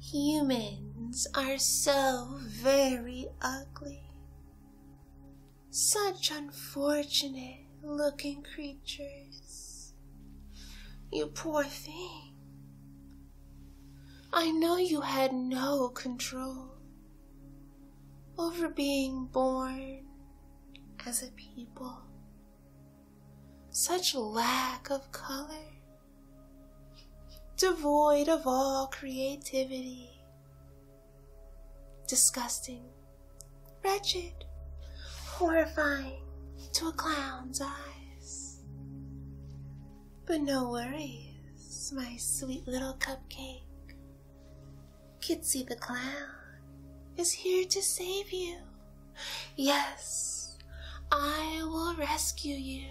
Humans are so very ugly. Such unfortunate looking creatures. You poor thing. I know you had no control over being born as a people. Such lack of color devoid of all creativity, disgusting, wretched, horrifying to a clown's eyes. But no worries, my sweet little cupcake. Kitsy the clown is here to save you. Yes, I will rescue you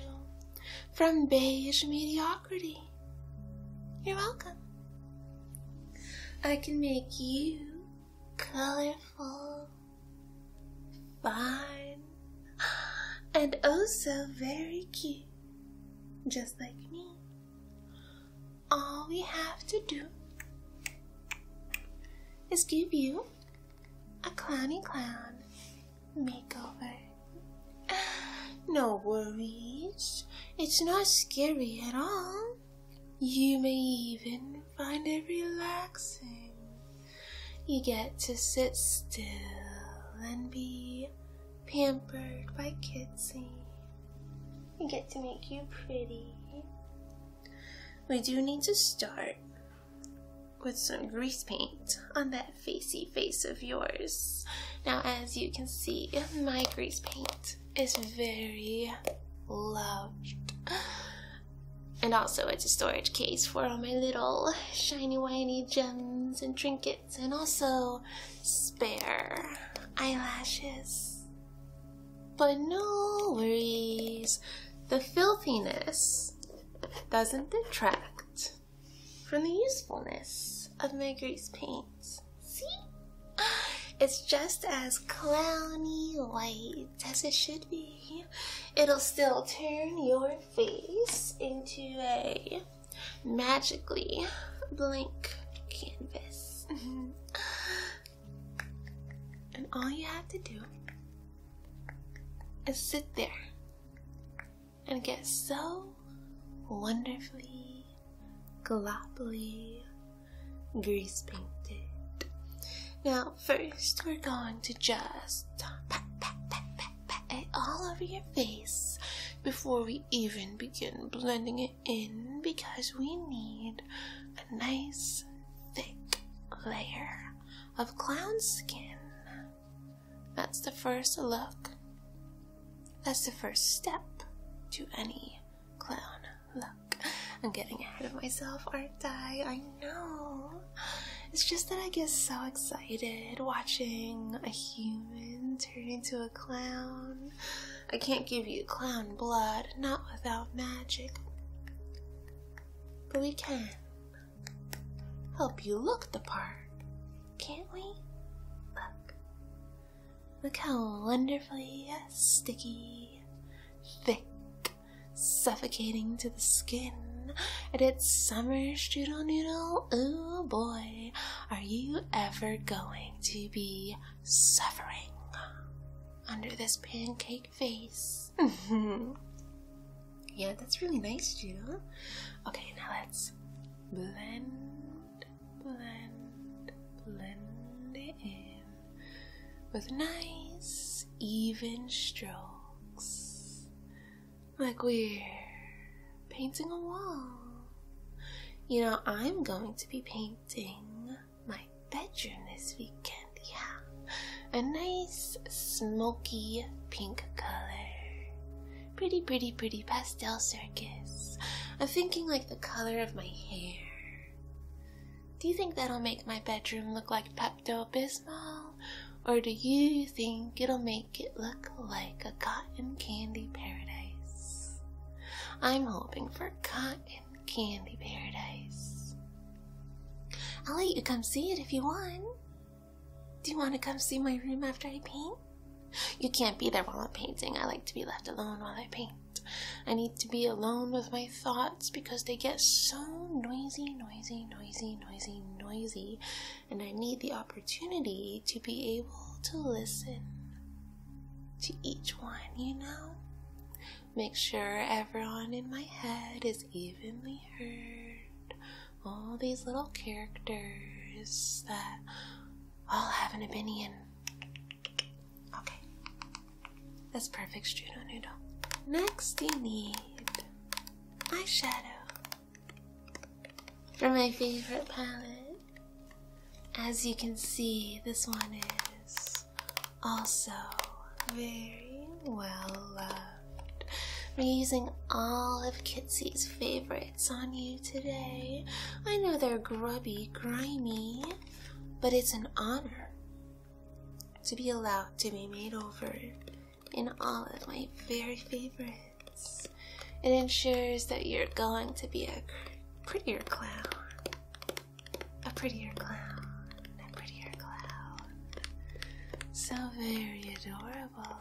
from beige mediocrity. You're welcome. I can make you colorful, fine, and oh so very cute, just like me. All we have to do is give you a clowny clown makeover. No worries, it's not scary at all. You may even find it relaxing. You get to sit still and be pampered by Kitsy. We get to make you pretty. We do need to start with some grease paint on that facey face of yours. Now, as you can see, my grease paint is very loved. And also, it's a storage case for all my little shiny whiny gems and trinkets, and also spare eyelashes. But no worries, the filthiness doesn't detract from the usefulness of Mercury's paints. See? It's just as clowny white as it should be. It'll still turn your face into a magically blank canvas. Mm-hmm. and all you have to do and sit there and get so wonderfully, gloppily grease painted. Now, first, we're going to just pat, pat, pat, pat, pat all over your face before we even begin blending it in because we need a nice thick layer of clown skin. That's the first look. That's the first step to any clown look. I'm getting ahead of myself, aren't I? I know. It's just that I get so excited watching a human turn into a clown. I can't give you clown blood, not without magic. But we can help you look the part, can't we? Look. Look how wonderfully uh, sticky, thick, suffocating to the skin. And it's summer strudel noodle. Oh boy, are you ever going to be suffering under this pancake face. Mm-hmm. yeah, that's really nice, Judo. Okay, now let's blend, blend, blend it in with nice, even strokes. Like we're painting a wall. You know, I'm going to be painting my bedroom this weekend. Yeah. A nice smoky pink color. Pretty, pretty, pretty pastel circus. I'm thinking like the color of my hair. Do you think that'll make my bedroom look like Pepto Bismol? Or do you think it'll make it look like a cotton candy paradise? I'm hoping for cotton candy paradise. I'll let you come see it if you want. Do you want to come see my room after I paint? You can't be there while I'm painting. I like to be left alone while I paint. I need to be alone with my thoughts because they get so noisy, noisy, noisy, noisy, noisy, and I need the opportunity to be able to listen to each one, you know? Make sure everyone in my head is evenly heard. All these little characters that all have an opinion. Okay, that's perfect, Judo Noodle. Next, you need eyeshadow from my favorite palette. As you can see, this one is also, very well loved. We're using all of Kitsy's favorites on you today. I know they're grubby, grimy, but it's an honor to be allowed to be made over in all of my very favorites. It ensures that you're going to be a prettier clown a prettier clown, a prettier clown. So very adorable.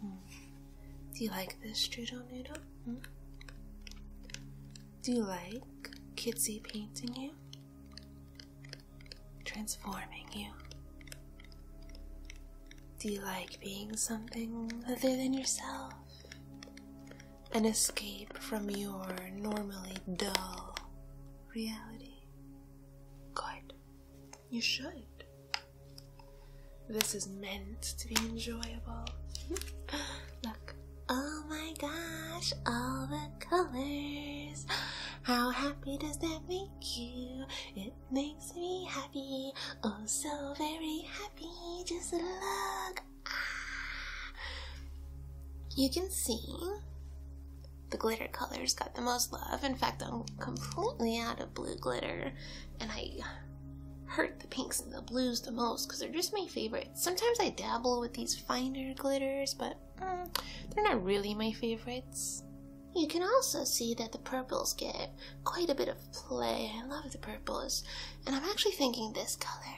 Hmm. Do you like this strudel noodle? Hmm? Do you like Kitsy painting you? Transforming you? Do you like being something other than yourself? An escape from your normally dull reality? Good. You should. This is meant to be enjoyable. Look. Oh my gosh, all the colors. How happy does that make you? It makes me happy. Oh, so very happy. Just look. Ah. You can see the glitter colors got the most love. In fact, I'm completely out of blue glitter, and I hurt the pinks and the blues the most because they're just my favorites. Sometimes I dabble with these finer glitters, but mm, they're not really my favorites. You can also see that the purples get quite a bit of play. I love the purples, and I'm actually thinking this color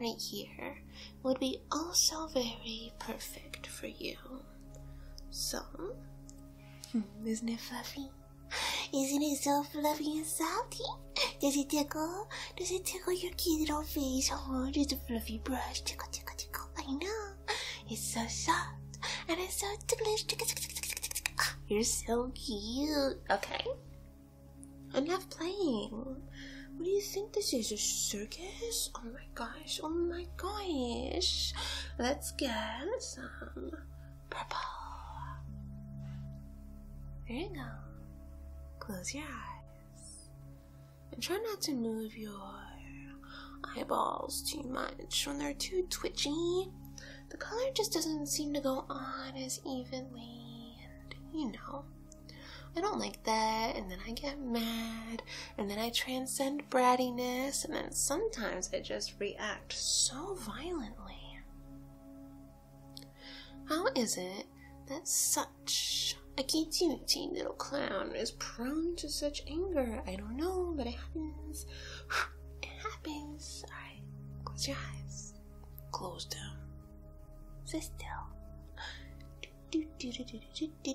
right here would be be also very perfect for you. So, hmm, isn't it fluffy? Isn't it so fluffy and softy? Does it tickle? Does it tickle your cute little face? Oh, just a fluffy brush. Tickle, tickle, tickle. I know. It's so soft and it's so ticklish. Tickle, tickle, tickle, tickle, tickle. Oh, you're so cute. Okay. Enough playing. What do you think this is? A circus? Oh my gosh, oh my gosh. Let's get some purple. There you go. Close your eyes. And try not to move your eyeballs too much. When they're too twitchy, the color just doesn't seem to go on as evenly. And you know, I don't like that, and then I get mad, and then I transcend brattiness, and then sometimes I just react so violently. How is it that such a teeny little clown is prone to such anger? I don't know, but it happens. It happens. Alright, close your eyes. Close them. Sit still. Do, do, do, do, do, do,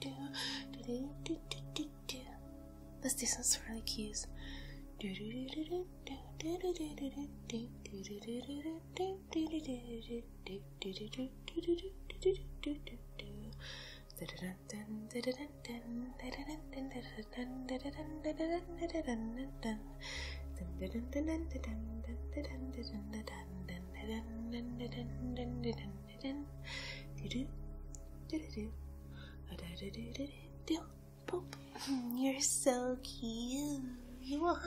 do, do, do, do, do. But this one's really cute. Poop. Mm, you're so cute. You are.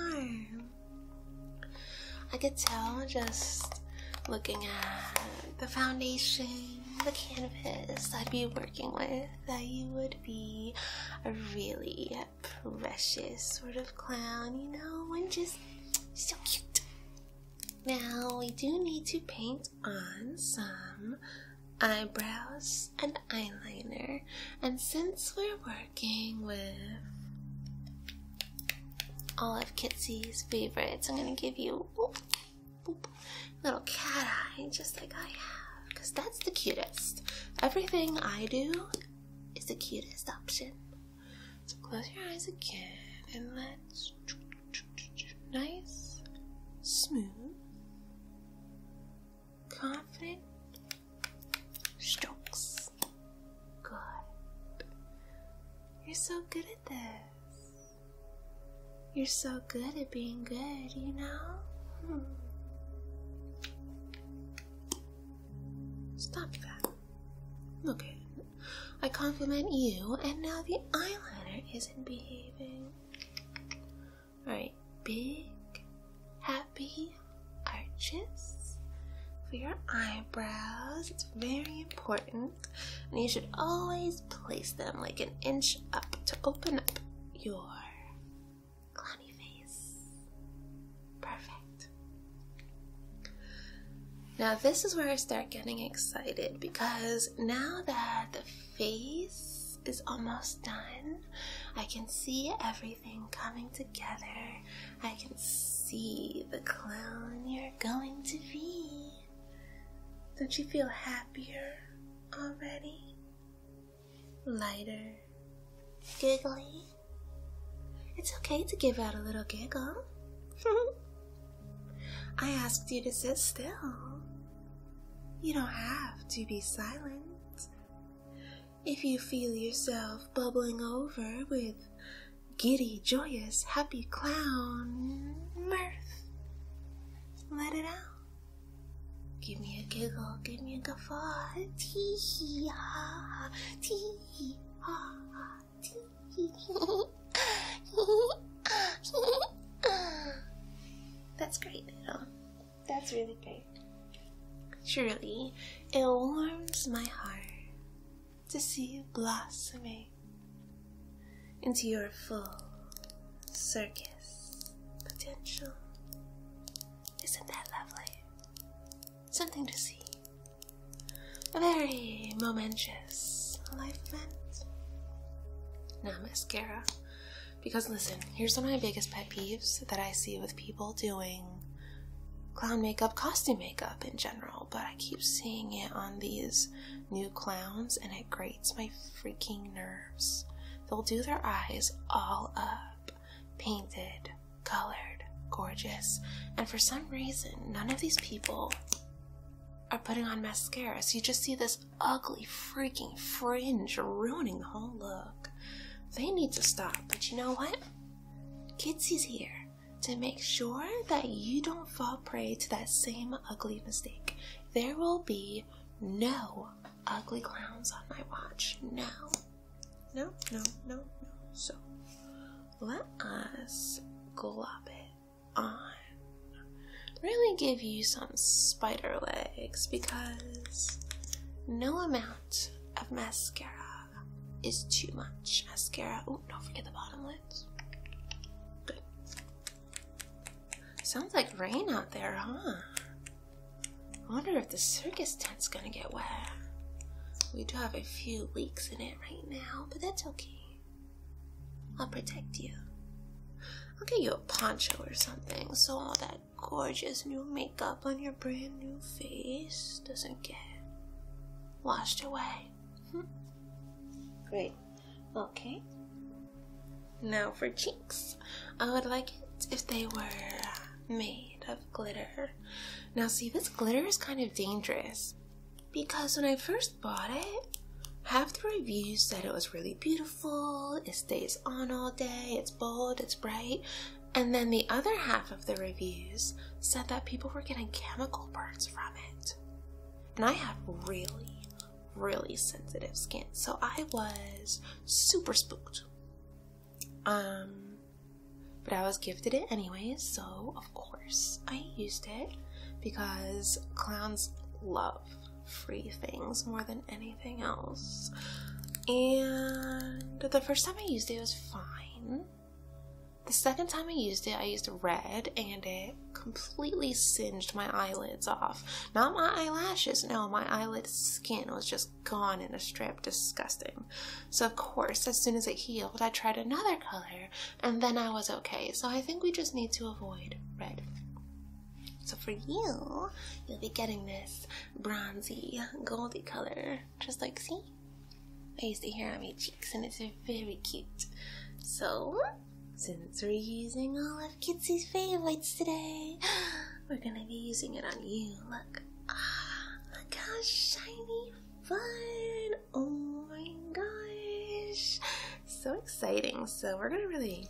I could tell just looking at the foundation, the canvas I'd be working with, that you would be a really precious sort of clown, you know, and just so cute. Now we do need to paint on some eyebrows and eyeliner, and since we're working with all of Kitsy's favorites, I'm gonna give you whoop, little cat eye, just like I have, because that's the cutest. Everything I do is the cutest option. So close your eyes again and let's nice, smooth, confident strokes. Good. You're so good at this. You're so good at being good, you know? Hmm. Stop that. Look at it. I compliment you, and now the eyeliner isn't behaving. Alright, big, happy arches for your eyebrows. It's very important, and you should always place them like an inch up to open up your clowny face. Perfect. Now, this is where I start getting excited because now that the face is almost done, I can see everything coming together. I can see the clown you're going to be. Don't you feel happier already? Lighter? Giggly? It's okay to give out a little giggle. I asked you to sit still. You don't have to be silent. If you feel yourself bubbling over with giddy, joyous, happy clown mirth, let it out. Give me a giggle, give me a guffaw, tee That's great, Biddle. That's really great. Truly, it warms my heart to see you blossoming into your full circus potential. Isn't that lovely? Something to see a very momentous life event. Now mascara. Because listen, here's one of my biggest pet peeves that I see with people doing clown makeup, costume makeup in general, but I keep seeing it on these new clowns and it grates my freaking nerves. They'll do their eyes all up, painted, colored, gorgeous, and for some reason, none of these people are putting on mascaras. you just see this ugly freaking fringe ruining the whole look. They need to stop, but you know what? Kitsy's here to make sure that you don't fall prey to that same ugly mistake. There will be no ugly clowns on my watch. No. No, no, no, no. So let us glop it on. Really give you some spider legs because no amount of mascara is too much. Mascara. Oh, don't forget the bottom lids. Good. Sounds like rain out there, huh? I wonder if the circus tent's gonna get wet. We do have a few leaks in it right now, but that's okay. I'll protect you. I'll get you a poncho or something so all that gorgeous new makeup on your brand new face doesn't get washed away. Hmm. Great. Okay. Now for cheeks. I would like it if they were made of glitter. Now, see, this glitter is kind of dangerous. Because when I first bought it, half the reviews said it was really beautiful, it stays on all day, it's bold, it's bright, and then the other half of the reviews said that people were getting chemical burns from it. And I have really, really sensitive skin, so I was super spooked. Um, but I was gifted it anyways, so of course. I used it because clowns love free things more than anything else. And the first time I used it was fine. The second time I used it, I used red and it completely singed my eyelids off. Not my eyelashes, no, my eyelid skin was just gone in a strip. Disgusting. So, of course, as soon as it healed, I tried another color and then I was okay. So I think we just need to avoid red. So for you, you'll be getting this bronzy, goldy color, just like see. I used to hear on my cheeks, and it's very cute. So, since we're using all of Kitsy's favorites today, we're gonna be using it on you. Look, ah, look how shiny, fun! Oh my gosh. So exciting. So we're gonna really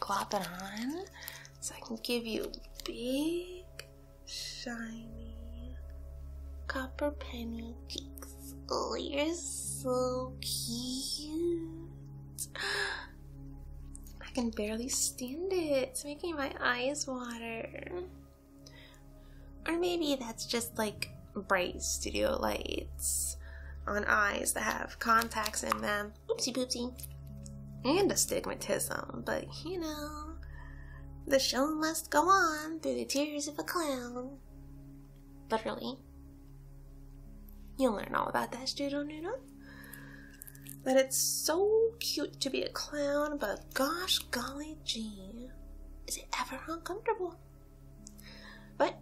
glop it on so I can give you big shiny copper penny cheeks. Oh you're so cute. I can barely stand it. It's making my eyes water. Or maybe that's just like bright studio lights on eyes that have contacts in them. Oopsie poopsie. And astigmatism, but you know, the show must go on through the tears of a clown. Literally. You'll learn all about that, Studio Noodle. That it's so cute to be a clown, but gosh golly gee, is it ever uncomfortable? But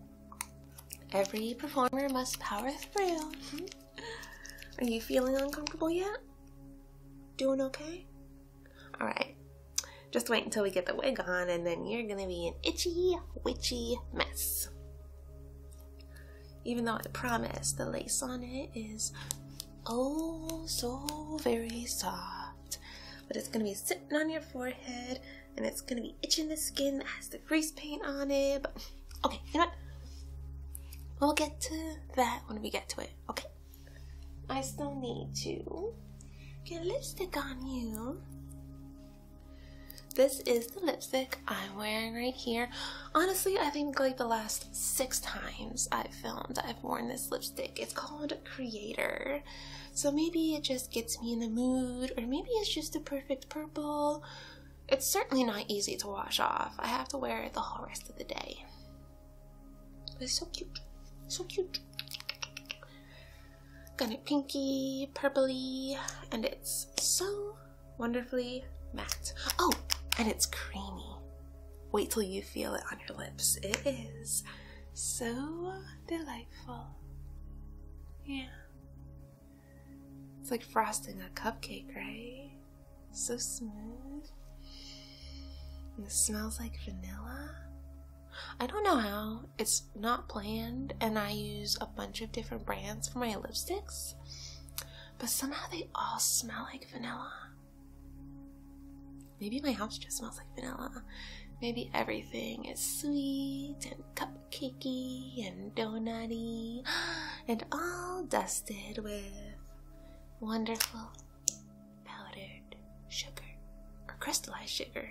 every performer must power through. Hmm? Are you feeling uncomfortable yet? Doing okay? Alright. Just wait until we get the wig on, and then you're gonna be an itchy, witchy mess. Even though I promise the lace on it is oh so very soft. But it's gonna be sitting on your forehead and it's gonna be itching the skin that has the grease paint on it. okay, you know We'll get to that when we get to it, okay? I still need to get lipstick on you. This is the lipstick I'm wearing right here. Honestly, I think like the last six times I've filmed, I've worn this lipstick. It's called Creator. So maybe it just gets me in the mood, or maybe it's just the perfect purple. It's certainly not easy to wash off. I have to wear it the whole rest of the day. But it's so cute. So cute. Got it pinky, purpley, and it's so wonderfully matte. Oh, and it's creamy. Wait till you feel it on your lips. It is so delightful. Yeah. It's like frosting a cupcake, right? So smooth. And it smells like vanilla. I don't know how. It's not planned, and I use a bunch of different brands for my lipsticks, but somehow they all smell like vanilla. Maybe my house just smells like vanilla. Maybe everything is sweet and cupcakey and donutty and all dusted with wonderful powdered sugar or crystallized sugar.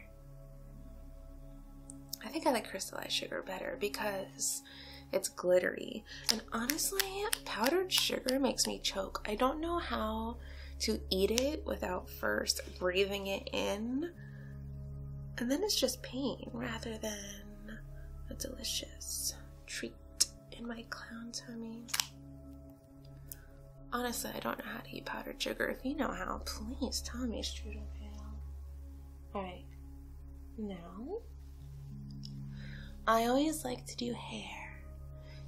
I think I like crystallized sugar better because it's glittery. And honestly, powdered sugar makes me choke. I don't know how to eat it without first, breathing it in, and then it's just pain rather than a delicious treat in my clown tummy. Honestly, I don't know how to eat powdered sugar. If you know how, please tell me straight up how. Alright, now I always like to do hair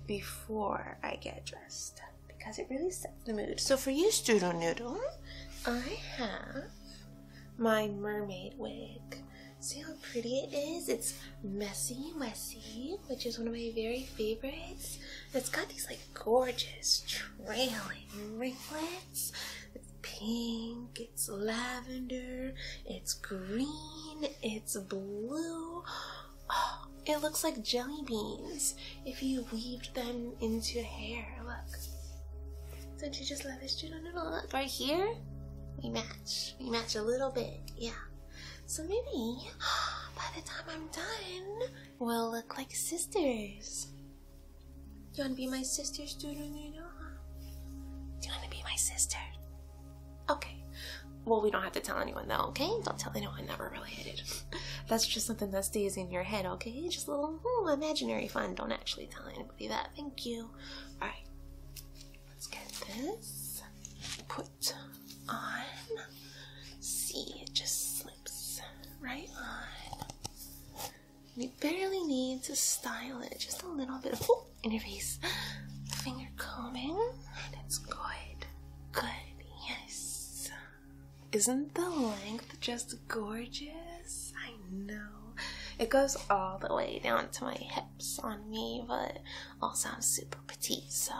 before I get dressed because it really sets the mood. So for you, Strudel Noodle, I have my mermaid wig. See how pretty it is? It's messy, messy, which is one of my very favorites. It's got these like gorgeous trailing ringlets. It's pink, it's lavender, it's green, it's blue. Oh, it looks like jelly beans if you weaved them into hair. Look. Don't you just love this? dude don't look right here. We match. We match a little bit. Yeah. So maybe by the time I'm done, we'll look like sisters. you want to be my sister, student? Do you want to be my sister? Okay. Well, we don't have to tell anyone though, okay? Don't tell anyone Never really are related. That's just something that stays in your head, okay? Just a little imaginary fun. Don't actually tell anybody that. Thank you. Alright. Let's get this put on. See, it just slips right on. You barely need to style it. Just a little bit of ooh, in your face. Finger combing. And it's good. Good. Yes. Isn't the length just gorgeous? I know. It goes all the way down to my hips on me, but all sounds super petite, so.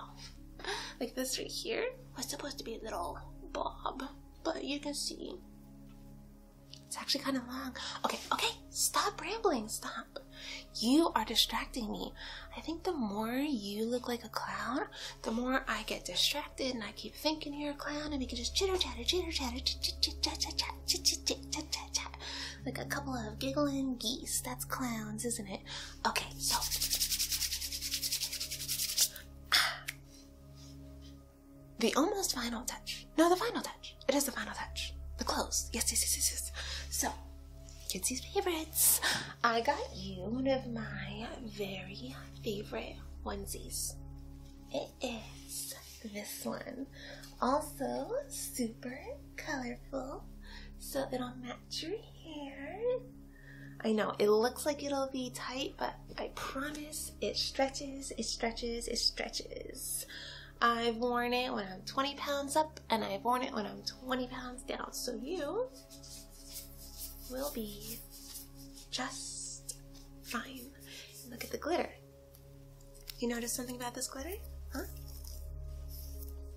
Like this right here was supposed to be a little bob, but you can see it's actually kind of long. Okay, okay, stop rambling, stop. You are distracting me. I think the more you look like a clown, the more I get distracted and I keep thinking you're a clown and we can just chitter chatter, chitter chatter, chat like a couple of giggling geese. That's clowns, isn't it? Okay, so. The almost final touch. No, the final touch. It is the final touch. The clothes. Yes, yes, yes, yes, yes. So, Kitsy's favorites. I got you one of my very favorite onesies. It is this one. Also super colorful, so it'll match your hair. I know it looks like it'll be tight, but I promise it stretches, it stretches, it stretches. I've worn it when I'm 20 pounds up, and I've worn it when I'm 20 pounds down. So you will be just fine. look at the glitter. You notice something about this glitter? Huh?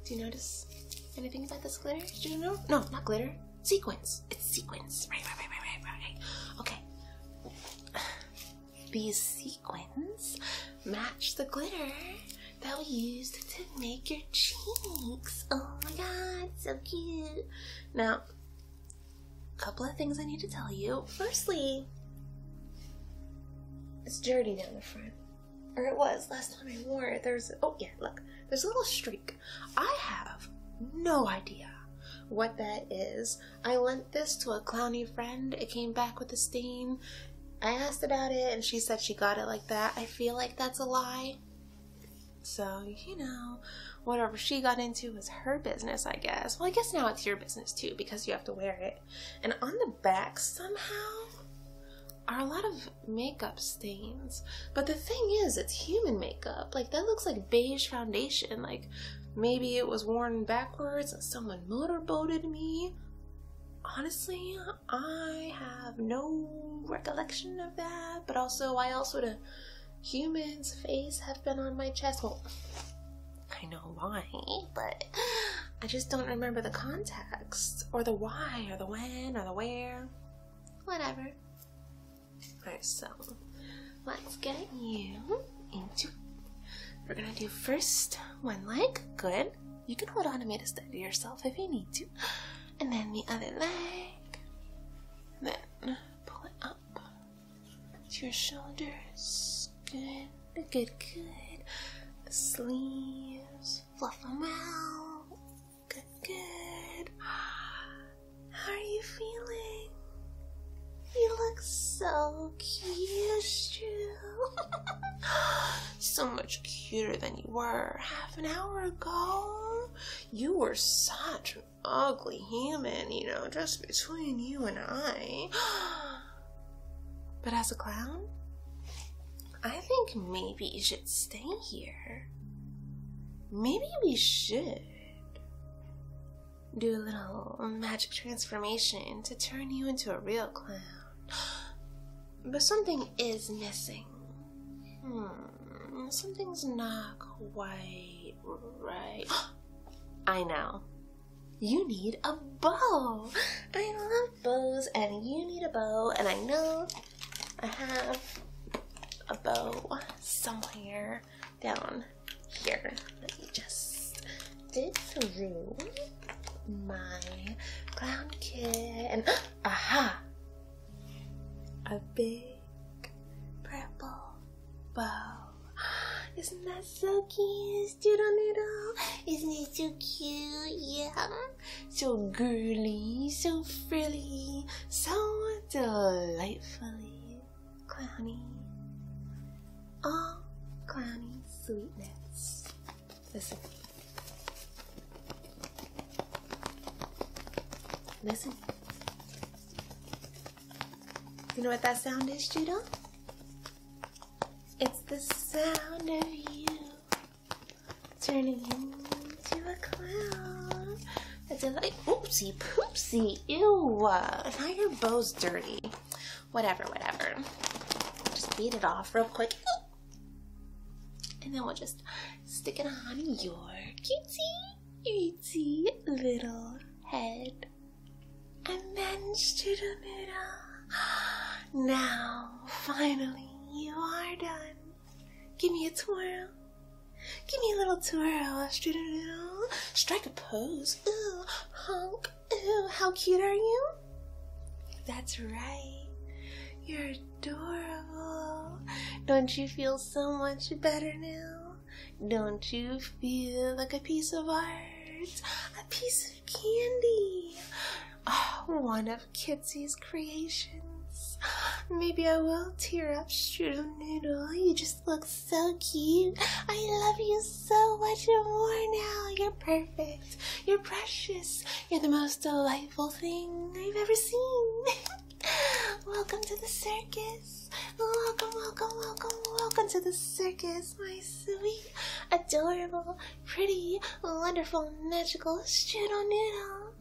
Do you notice anything about this glitter? Did you know? No, not glitter. Sequins. It's sequins. Right, right, right, right, right, right. Okay. These sequins match the glitter that we used to make your cheeks. Oh my god, so cute. Now, a couple of things I need to tell you. Firstly, it's dirty down the front. Or it was last time I wore it. There's, oh yeah, look, there's a little streak. I have no idea what that is. I lent this to a clowny friend. It came back with a stain. I asked about it and she said she got it like that. I feel like that's a lie. So, you know, whatever she got into was her business, I guess. Well, I guess now it's your business too because you have to wear it. And on the back, somehow, are a lot of makeup stains. But the thing is, it's human makeup. Like, that looks like beige foundation. Like, maybe it was worn backwards and someone motorboated me. Honestly, I have no recollection of that, but also why else would a human's face have been on my chest? Well, I know why, but I just don't remember the context, or the why, or the when, or the where. Whatever. Alright, so let's get you into. We're gonna do first one leg, good. You can hold on to me to steady yourself if you need to. And then the other leg. Then pull it up your shoulders. Good, good, good. The sleeves. Fluff them out. Good, good. How are you feeling? You look so cute, Drew. so much cuter than you were an hour ago. You were such an ugly human, you know, just between you and I. But as a clown, I think maybe you should stay here. Maybe we should do a little magic transformation to turn you into a real clown. But something is missing. Hmm, something's not quite right. I know. You need a bow. I love bows, and you need a bow, and I know I have a bow somewhere down here. Let me just disrobe my clown kit Aha! A big purple bow. Isn't that so cute, doodle noodle? Isn't it so cute? Yeah. So girly, so frilly, so delightfully clowny. All ah, clowny sweetness. Listen. Listen. You know what that sound is, Judah? It's the sound of you turning into a clown. It's like, oopsie poopsie, ew. Now your bow's dirty. Whatever, whatever. Just beat it off real quick. And then we'll just stick it on your cutesy, cutesy little head. And then to the middle. Now, finally, you are done. Give me a twirl. Give me a little twirl. Strike a pose. Ooh, honk. Ooh, how cute are you? That's right. You're adorable. Don't you feel so much better now? Don't you feel like a piece of art? A piece of candy? Oh, one of Kitsy's creations. Maybe I will tear up, Strudel Noodle. You just look so cute. I love you so much and more now. You're perfect. You're precious. You're the most delightful delightful thing I've ever seen. welcome to the circus. Welcome, welcome, welcome, welcome to the circus, my sweet, adorable, pretty, wonderful, magical strudel noodle.